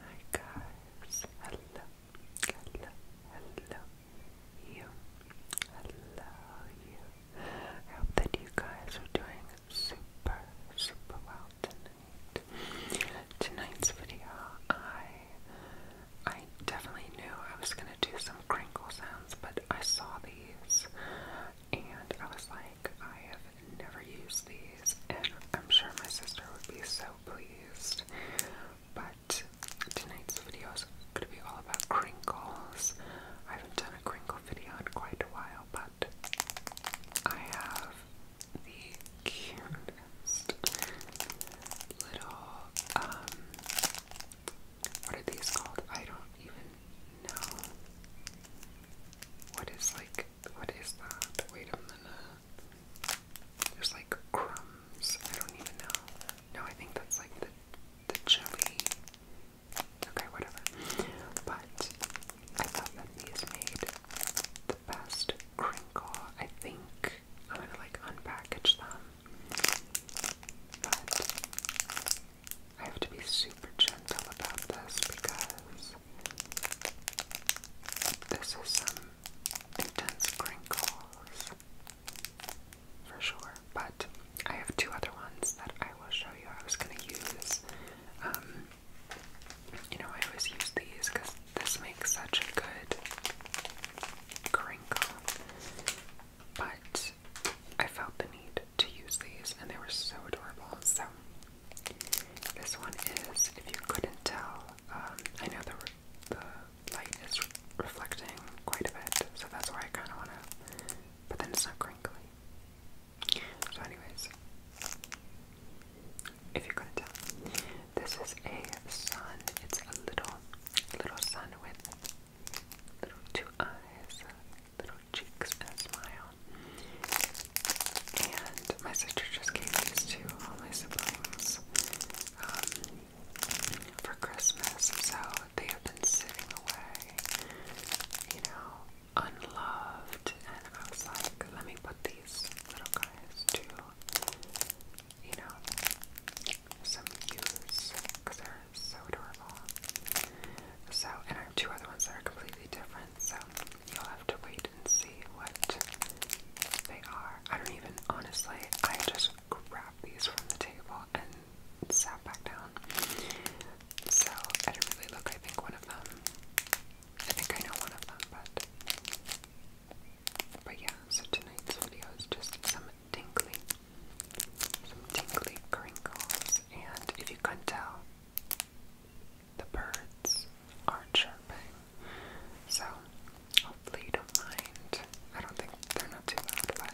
Hi guys, hello, hello, hello you, hello you. I hope that you guys are doing super, super well tonight. Tonight's video, I, I definitely knew I was gonna do some crinkle sounds, but I saw these and I was like, I have never used these, and I'm sure my sister would be so pleased. But tonight's video is going to be all about crinkles. I haven't done a crinkle video in quite a while, but I have the cutest little, um, what are these called? I don't even know. What is like what is that? Wait a minute. There's like crumbs. I don't even know. No, I think that's like the the jelly. Okay, whatever. But I thought that these made the best crinkle. I think I'm gonna like unpackage them. But I have to be super gentle about this because this is some intense crinkles for sure, but I have two other ones that I will show you. I was going to use, um, you know, I always use these because this makes such a good crinkle, but I felt the need to use these and they were so adorable. So this one is, if you couldn't tell, um, I know the, the light is reflecting quite a bit, so that's why I kind of want to, but then it's not crinkly. So anyways, if you couldn't tell, this is a sun, it's a little, little sun with little two eyes, little cheeks with a smile. And my sister just gave these to all my siblings um, for Christmas, so they have been sitting away, you know, unloved. And I was like, let me put these little guys to, you know, some use because they're so adorable. So, and I have two other ones that are completely different so you'll have to wait and see what they are. I don't even, honestly, I just grabbed these from the table and sat back down. So I didn't really look, I think one of them, I think I know one of them, but, but yeah, so tonight's video is just some tinkly, some tinkly crinkles, and if you couldn't tell, the birds are chirping, so hopefully you don't mind. I don't think they're not too loud,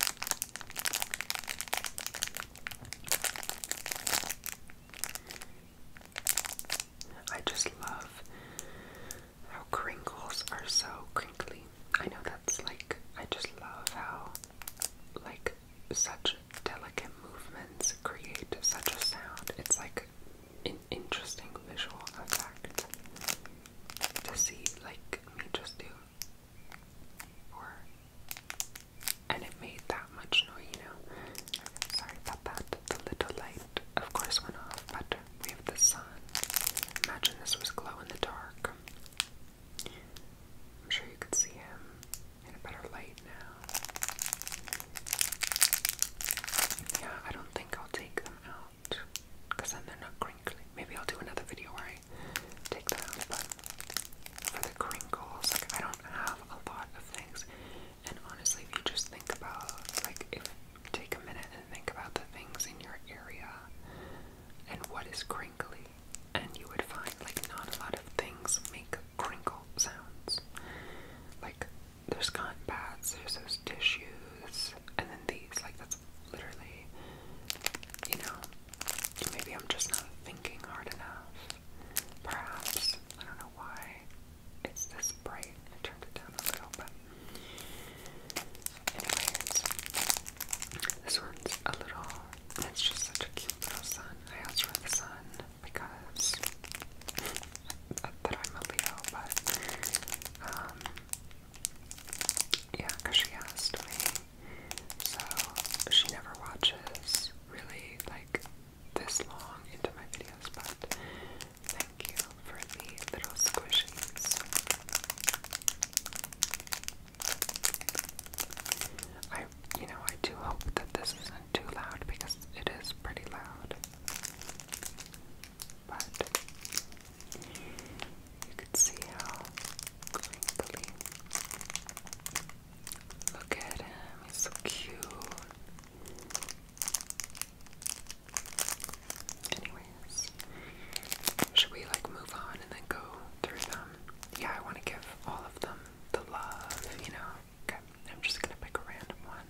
I just love how crinkles are so crinkly. I know that's like, I just love how, like, such delicate movements create such a sound. It's like an interesting visual effect to see, like me just do. Or, and it made that much noise, you know. Sorry about that. The little light, of course, went off, but we have the sun. Imagine this was glow in the dark. I'm sure you could see him in a better light now. Yeah, I don't think I'll take them out because then they're not crinkly. Maybe I'll do another video where I take them but for the crinkles, I don't have a lot of things. And honestly, if you just think about, like, if take a minute and think about the things in your area and what is crinkly, and you would find like not a lot of things make crinkle sounds. Like there's cotton pads, there's those tissues, and then these. Like that's literally, you know, maybe I'm just not thinking hard enough. Perhaps I don't know why it's this bright. I turned it down a little, but anyways, this one's a little it's just such a cute little sun. I asked for the sun because that I'm a Leo, but um, yeah, because she asked me. So she never watches really like this long into my videos, but thank you for the little squishies. I, you know, I do hope that this isn't too loud because it is pretty loud. But you could see how crinkly. Look at him, he's so cute. Anyways, should we like move on and then go through them? yeah, I want to give all of them the love, you know. Okay, I'm just gonna pick a random one.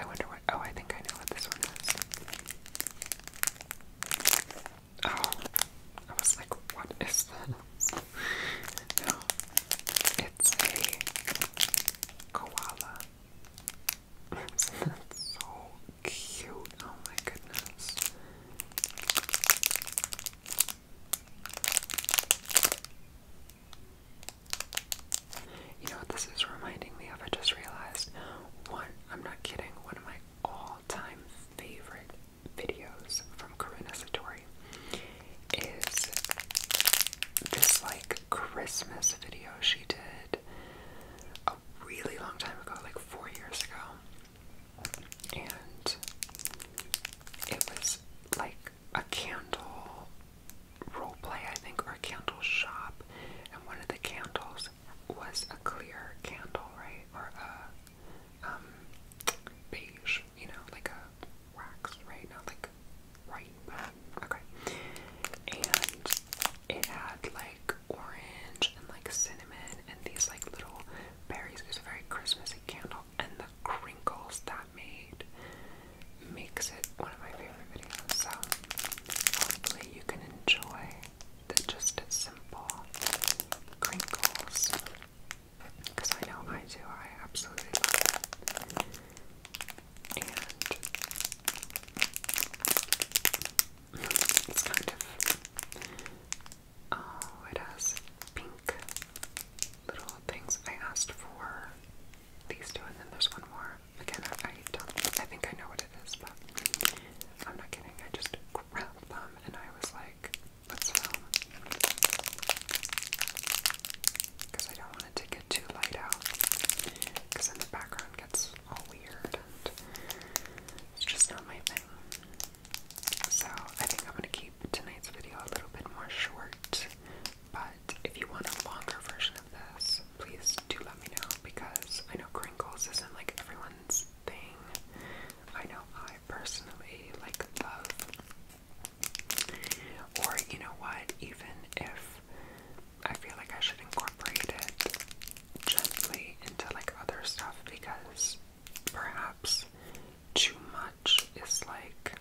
I wonder what. Oh, I think I know what this one is. Oh, I was like, what is this? no, it's a koala. That's so cute. Oh my goodness. You know what this is reminding me of? I just realized one, I'm not kidding, one of my all time favorite videos from Karina Satori is this like Christmas video she did a really long time ago, like four years ago. And it was like a candle roleplay, I think, or a candle shop. And one of the candles was a clear candle, right? Or a um, beige, you know, like a wax, right? Not like white, okay. And it had like orange and like cinnamon and these like little berries. It was a very Christmassy candle, and the crinkles that made makes it one of my favorite videos. So hopefully you can enjoy the just simple crinkles because I know I do. I absolutely love it. And it's kind of. Oh, it has pink little things. I asked for these two, and then there's one more. Again, I, I don't. I think I know what it is, but I'm not kidding. I just grabbed them, and I was like, "Let's film," because I don't want it to get too light out, because then the background gets all weird. It's just not my thing. So I think I'm gonna keep tonight's video a little bit more short. But if you want a longer version of this, please do let me know because I know crinkles isn't like everyone's thing. I know I personally like love. Or you know what, even if I feel like I should incorporate it gently into like other stuff because perhaps too much is like,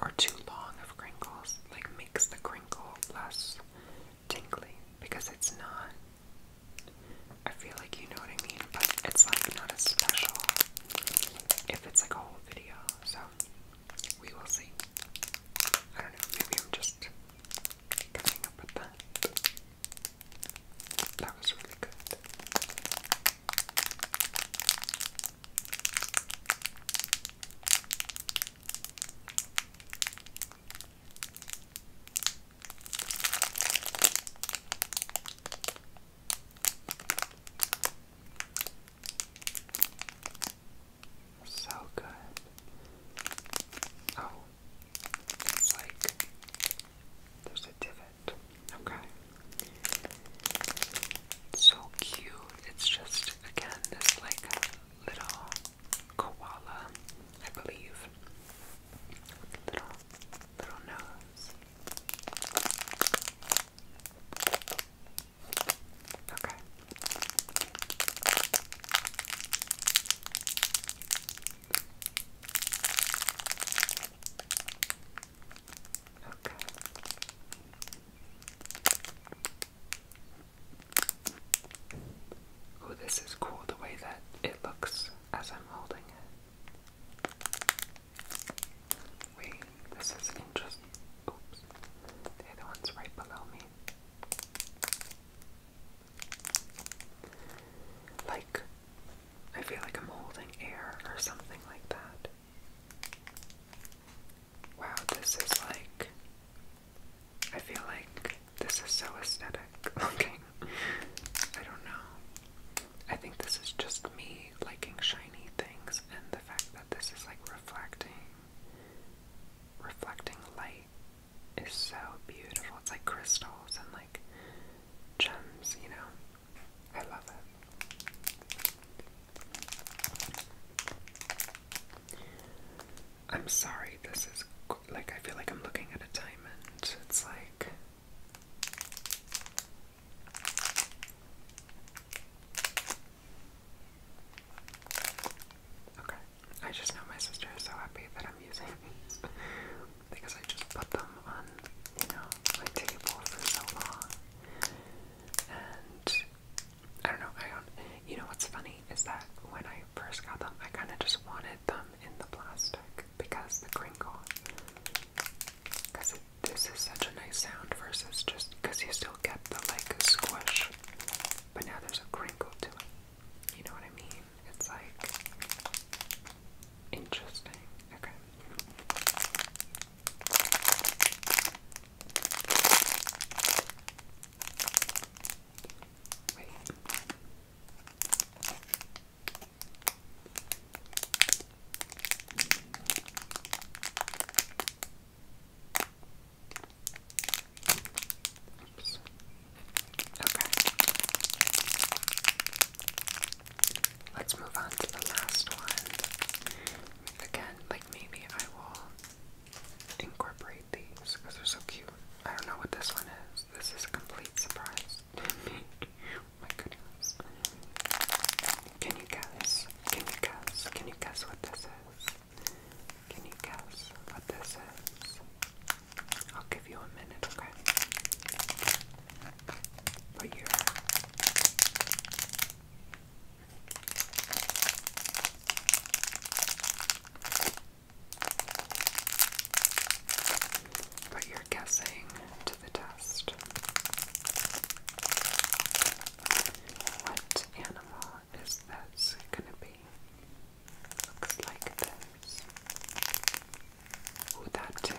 or too long of crinkles, like makes the crinkle less tingly because it's not. I feel like you know what I mean, but it's like not as special if it's like a whole video. So we will see. I don't know, maybe I'm just coming up with that. That was really good. So good. Oh, like there's a divot. Okay. so cute. It's just, again, this like little koala, I believe. Little, little nose. Okay. Okay. Oh, this is cool the way that it looks as I'm holding it. Wait, this is interesting. Oops. The other one's right below me. Like, I feel like I'm holding air or something like that. Wow, this is like. I feel like this is so aesthetic looking. I don't know. I think this is just me liking shiny things and the fact that this is like reflecting reflecting light is so beautiful. It's like crystals and like gems, you know. I love it. I'm sorry, this is like I feel like I'm looking at a diamond. it's like Okay. I just know my sister is so happy that I'm using these because I just put them on, you know, my table for so long. And I don't know, I don't you know what's funny is that when I first got them I kinda just wanted them in the plastic because the crinkle this is such a nice sound versus just because you still get the like squish, but now there's a crinkle to it. You know what I mean? It's like interesting. Okay. Wait. Let's move on to the last one. Again, like maybe I will incorporate these because they're so cute. I don't know what this one is. This is a complete surprise oh my goodness. Can you guess? Can you guess? Can you guess what this is? Can you guess what this is? I'll give you a minute, okay? But you're. But guessing to the test. What animal is this gonna be? Looks like this. Ooh, that too.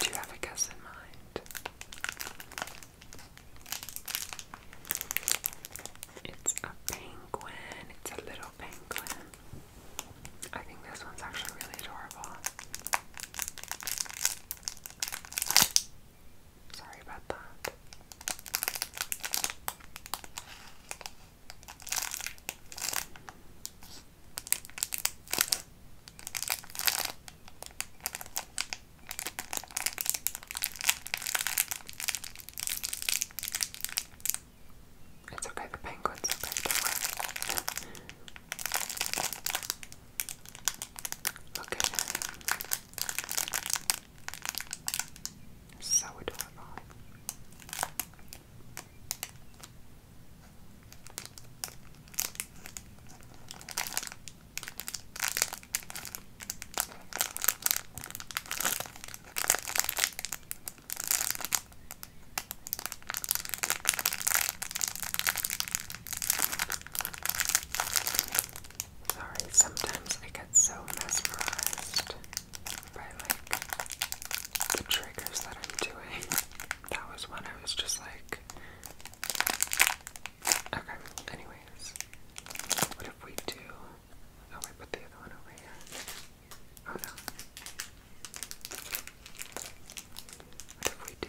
Do you have a guess in mind? It's a penguin. It's a little penguin. I think this one's actually really adorable. Sorry about that. It's okay, the penguin's okay, do So adorable. Sorry, sometimes I get so mesmerized by like the triggers that I'm doing. That was when I was just like Okay, anyways. What if we do oh I put the other one over here? Oh no. What if we do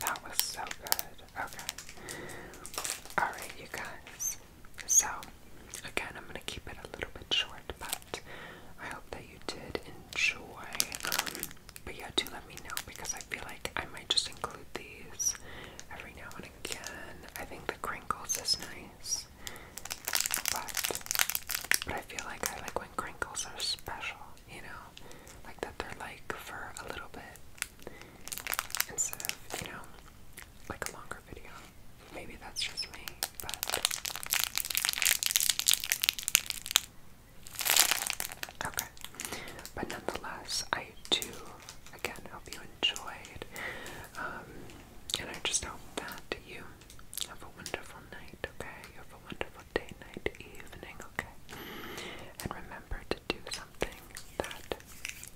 That was so good. Okay. Alright, you guys. So, again, I'm going to keep it a little bit short, but I hope that you did enjoy. but yeah, do let me know because I feel like I might just include these every now and again. I think the crinkles is nice, but, but I feel like I like when crinkles are special you know, like that they're like for a little bit instead of, you know, like a longer video. Maybe that's just me, but. Okay, but nonetheless, I do again hope you enjoyed, um, and I just hope that you have a wonderful night. Okay, you have a wonderful day, night, evening, Okay. And remember to do something that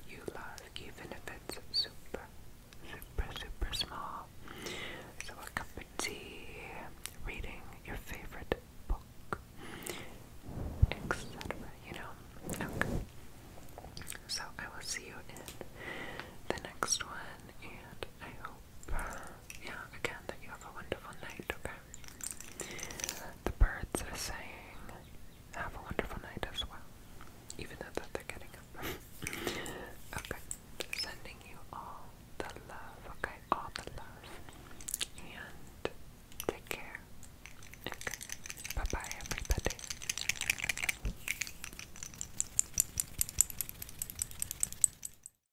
you love, even if it's super, super, super small. So, a cup of tea, reading your favorite book, etc. You know? Okay. So, I will see you in the next one, and I hope yeah, again, that you have a wonderful night, okay? The birds are saying, have a wonderful night as well, even though that they're getting okay, sending you all the love, okay? All the love. And take care. Okay, bye bye, everybody.